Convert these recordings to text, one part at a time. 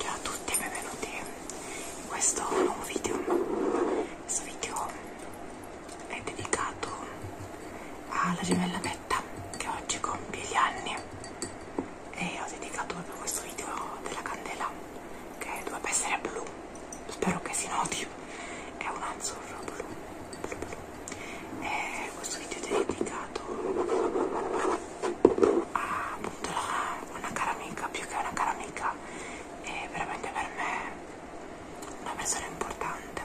Ciao a tutti e benvenuti in questo nuovo video. Questo video è dedicato alla gemella Betta che oggi compie gli anni e ho dedicato proprio questo video della candela che dovrebbe essere blu. Spero che si noti, è un azzurro blu eh, questo video è dedicato a appunto, la, una cara amica, più che una cara amica, è veramente per me una persona importante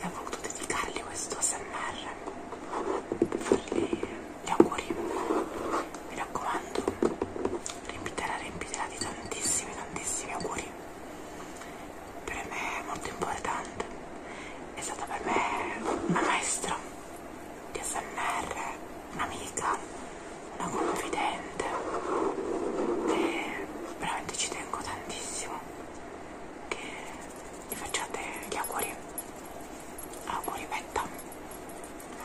e ho voluto dedicargli questo SMR per fargli gli auguri. Mi raccomando, riempitela, riempitela di tantissimi, tantissimi auguri per me è molto importante, è stata per me una maestra di SMR, un'amica, una confidente e veramente ci tengo tantissimo che vi facciate gli auguri, auguri Betta,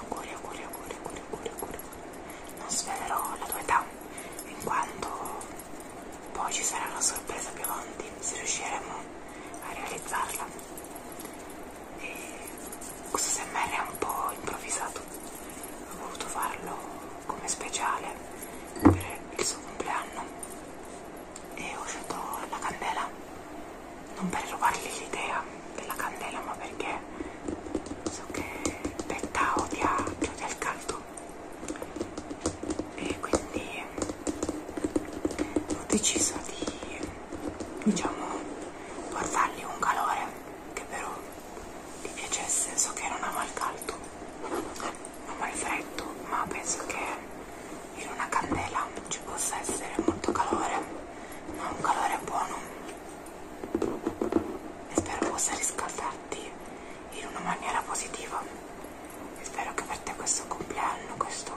auguri, auguri, auguri, auguri, auguri, auguri. non svelerò la tua età in quanto poi ci sarà una sorpresa biondi se riusciremo a realizzarla. E questo SMR è un po' improvvisato, ho voluto farlo come speciale per il suo compleanno e ho scelto la candela, non per rubargli l'idea della candela ma perché so che Betta odia, odia il caldo e quindi ho deciso di diciamo portargli un calore che però gli piacesse so che non ama il caldo ama il freddo ma penso che in una candela ci possa essere molto calore ma un calore buono e spero possa riscaldarti in una maniera positiva e spero che per te questo compleanno, questo,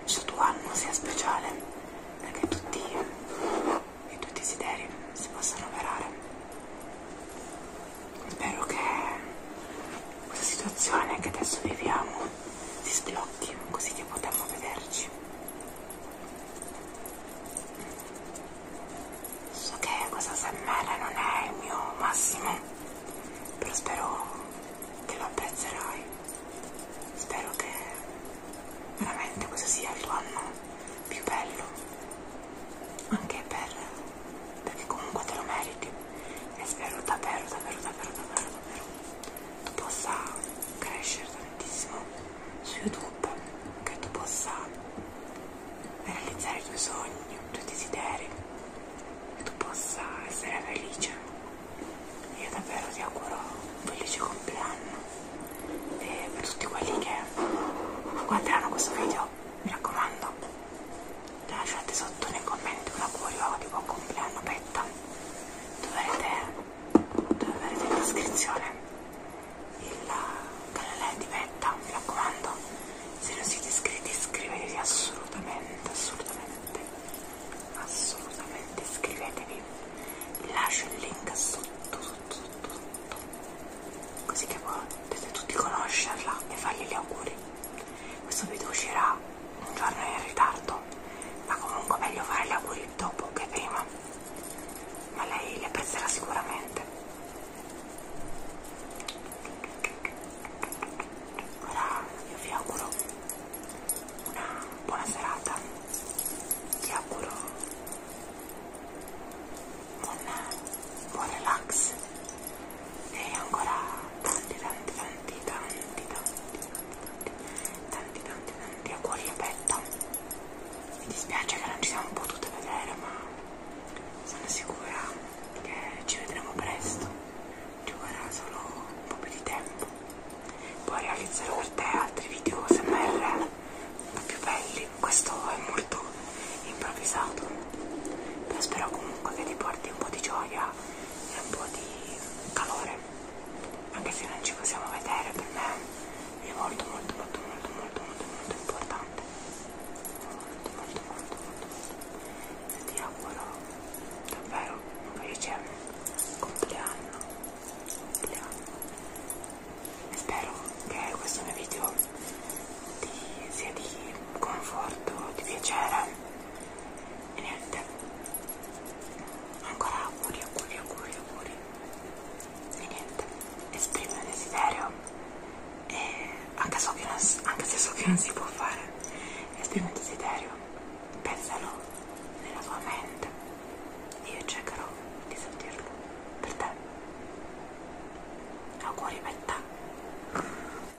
questo tuo anno sia speciale perché tutti i tuoi desideri si possano avverare. Spero che questa situazione che adesso viviamo si sblocchi così che potremo vederci. So che questa SMR non è il mio massimo, però spero che lo apprezzerai. Spero che veramente questo sia il tuo anno più bello, anche per, perché comunque te lo meriti e spero davvero, davvero, davvero, davvero, davvero tu possa crescere tantissimo su YouTube che tu possa realizzare i tuoi sogni, i tuoi desideri, che tu possa essere felice. Io davvero ti auguro un felice compleanno e per tutti quelli che guarderanno questo video, mi raccomando, lasciate sotto nei commenti un augurio di buon compleanno Petta. Dovrete dove vedete in descrizione il canale di Metta, mi raccomando, se non siete iscritti iscrivetevi assolutamente, assolutamente, assolutamente iscrivetevi, vi lascio il link sotto, sotto, sotto, sotto, così che potete tutti conoscerla e fargli gli auguri. Questo video uscirà un giorno in ritardo, ma comunque meglio fare gli auguri magari dopo che prima, ma lei le apprezzerà sicuramente. Ora io vi auguro una buona serata, ti auguro un buon relax e ancora tanti tanti tanti tanti tanti tanti tanti tanti tanti auguri Repetta mi dispiace che non ci siamo potute vedere ma sono sicura che ci vedremo presto ci vorrà solo un po' più di tempo poi realizzerò per te altri video smr più belli questo è molto improvvisato però spero comunque che ti porti un po' di gioia e un po' di calore anche se non ci possiamo vedere per me è molto molto molto molto molto molto molto importante molto molto molto molto, molto. ti auguro davvero un felice compleanno compleanno e spero che questo mio video ti sia di conforto di piacere e niente ancora auguri auguri auguri auguri e niente esprimo il desiderio e anche, so che non, anche se so che non si può fare esprimo il desiderio pensalo nella tua mente io cercherò di sentirlo per te auguri per te